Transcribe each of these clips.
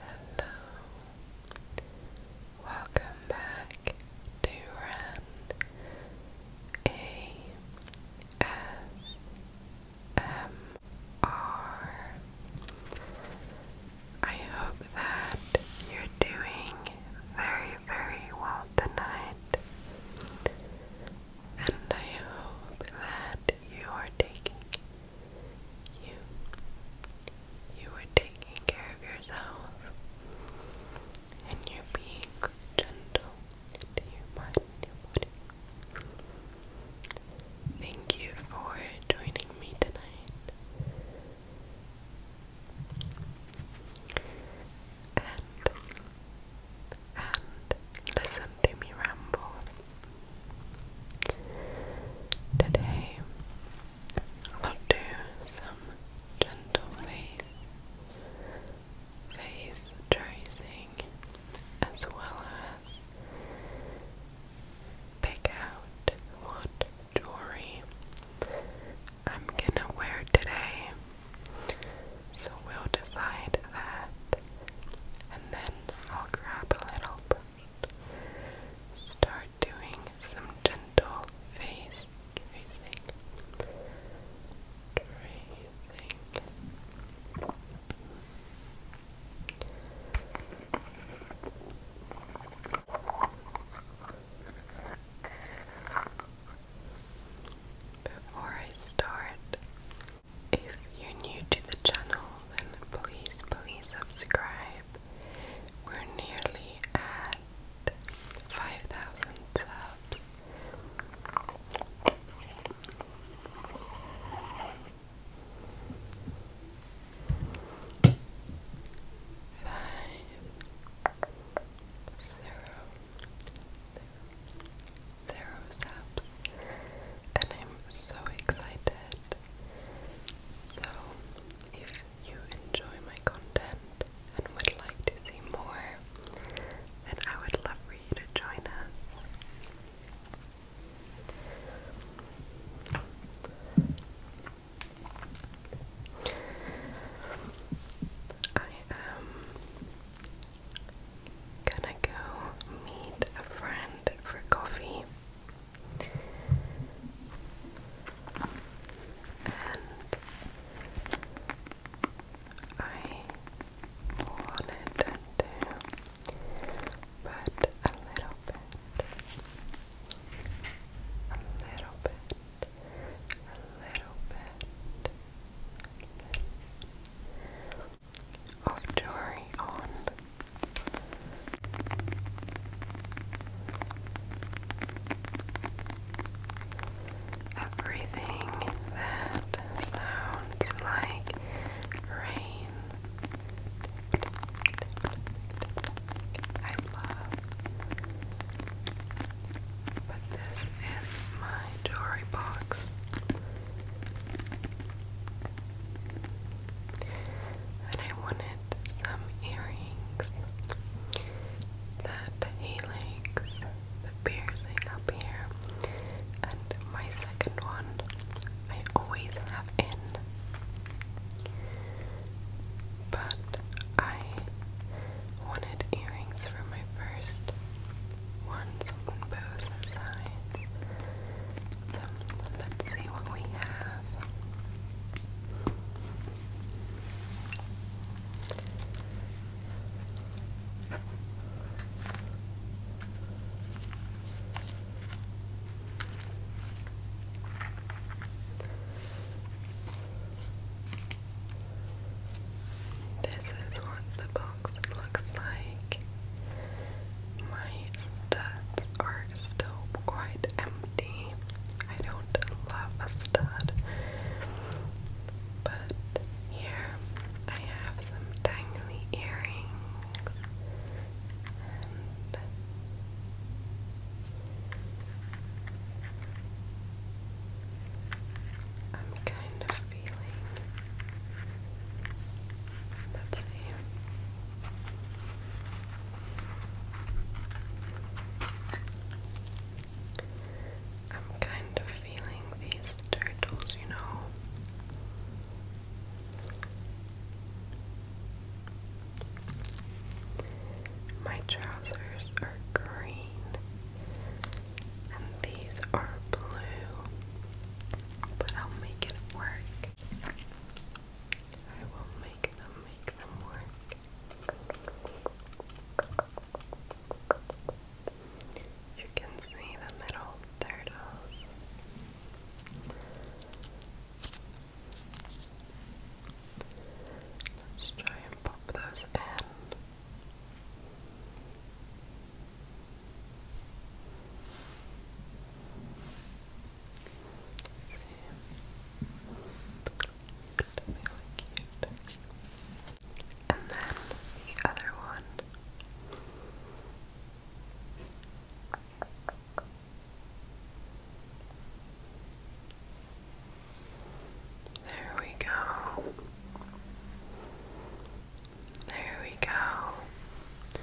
Hello, welcome back to Rand A S M R. I hope that you're doing very, very well tonight and I hope that you are taking you you are taking care of yourself and you're being gentle to your mind your body. Thank you for joining me tonight. And and listen to me ramble. Today, I'll do some gentle face, face tracing, as well as pick out what jewelry I'm gonna wear today so we'll decide that, and then I'll grab a little brush. Start doing some gentle face tracing. Tracing. Before I start, if you're new to the channel, then please, please subscribe. We're nearly at 5,000 subs. Five, zero, zero and I'm so excited. So, if you enjoy my content and would like to see more, then I would love for you to join us. I'm um, gonna go meet a friend for coffee. And I wanted to put a little bit, a little bit a little bit, of jewelry on. Everything that sounds like rain. I love. But this is my jewelry box. And I wanted some earrings. That he likes. the piercing up here, and my second one I always have in but I wanted earrings for my first ones on both sides. So let's see what we have. This is what the box looks like. My studs are still quite empty. I don't love a stud, but here I have some dangly earrings I'm kind of feeling. Let's I'm kind of feeling these turtles, you know. My trousers are green and these are blue, but I'll make it work. I will make them make them work. You can see the little turtles. Let's try and pop those in. And then the other one. There we go. There we go.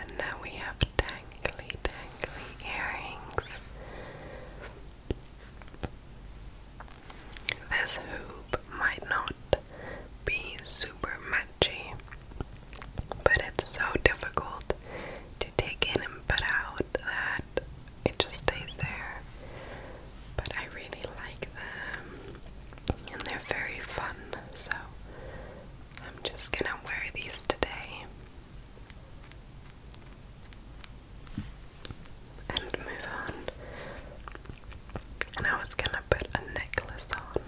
And now we have dangly, dangly earrings. This hoop might not be super matchy, but it's so difficult to take in and put out that it just stays there. But I really like them and they're very fun, so I'm just gonna wear these today and move on. And I was gonna put a necklace on.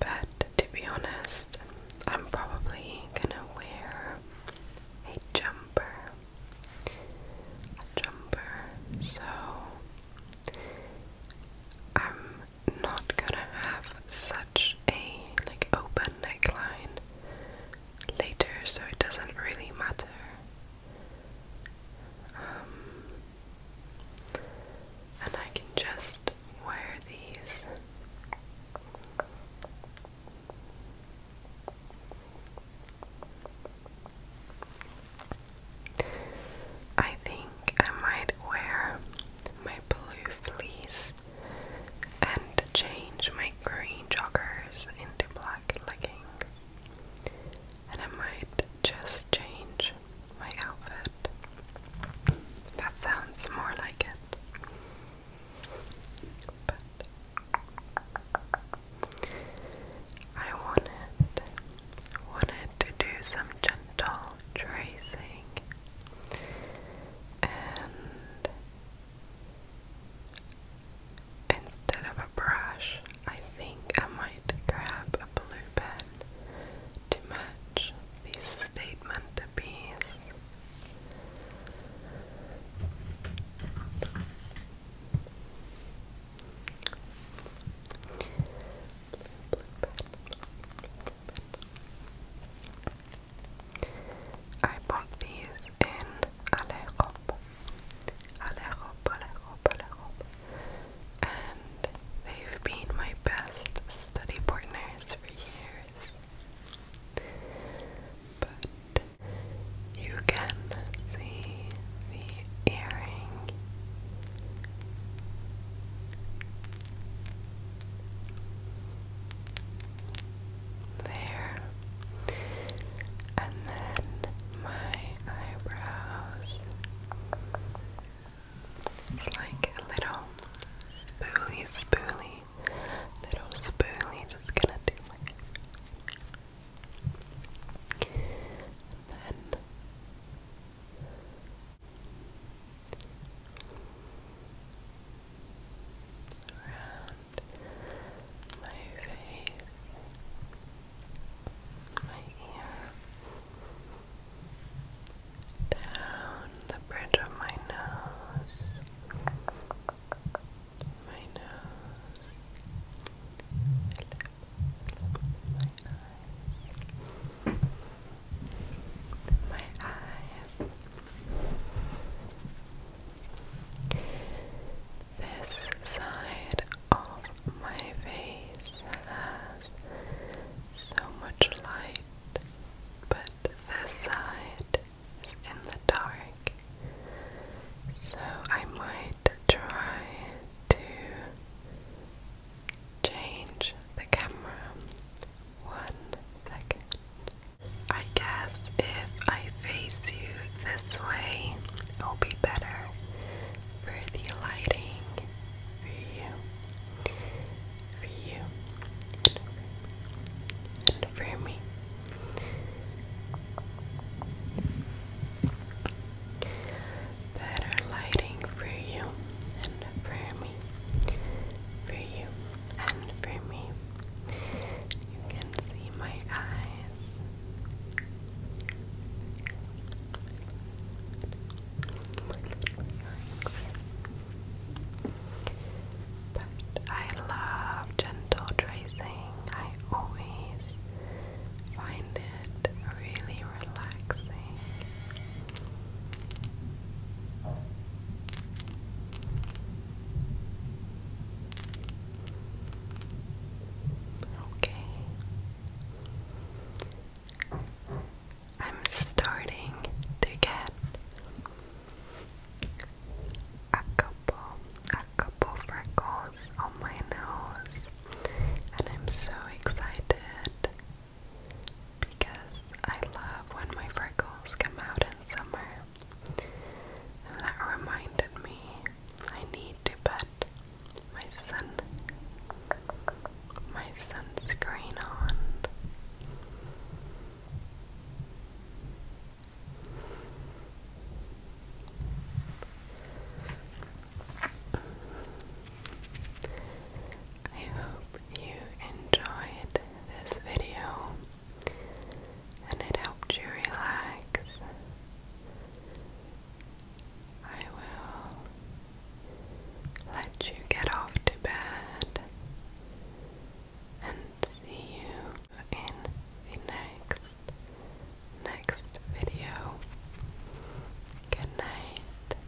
But to be honest, I'm probably gonna wear a jumper. A jumper, so I'm not gonna have such a like open neckline later, so it doesn't really matter. Um, and I can just wear these I think I might wear my blue fleece and change my green joggers into black leggings and I might just change my outfit. That sounds more like it. But I wanted wanted to do some gentle tracing and Instead of a brush, I think I might grab a blue pen to match this statement piece. Blue, I bought these in Ale Alejo, Alejo, Alejo. And they've been my best study partners for years. But you can see the earring. There and then my eyebrows. It's like a little spoolie, spoolie, little spoolie, just gonna do my. then. Around my face, my ear, down the bridge of my nose, my nose, my lip, my eyes, my eyes. This side of my face has so much light, but this side is in the dark, so I might try to change the camera one second. I guess if I face you this way, it'll be better for the lighting for you, for you, and for me. Better lighting for you and for me, for you and for me. You can see my eyes. But I love gentle tracing. I always find it really relaxing. Okay. I'm starting to get a couple, a couple freckles on my nose, and I'm so excited because I love when my freckles come out in summer that reminded me I need to put my sun my sunscreen on. I hope you enjoyed this video and it helped you relax. I will let you get off to bed and see you in the next next video. Good night.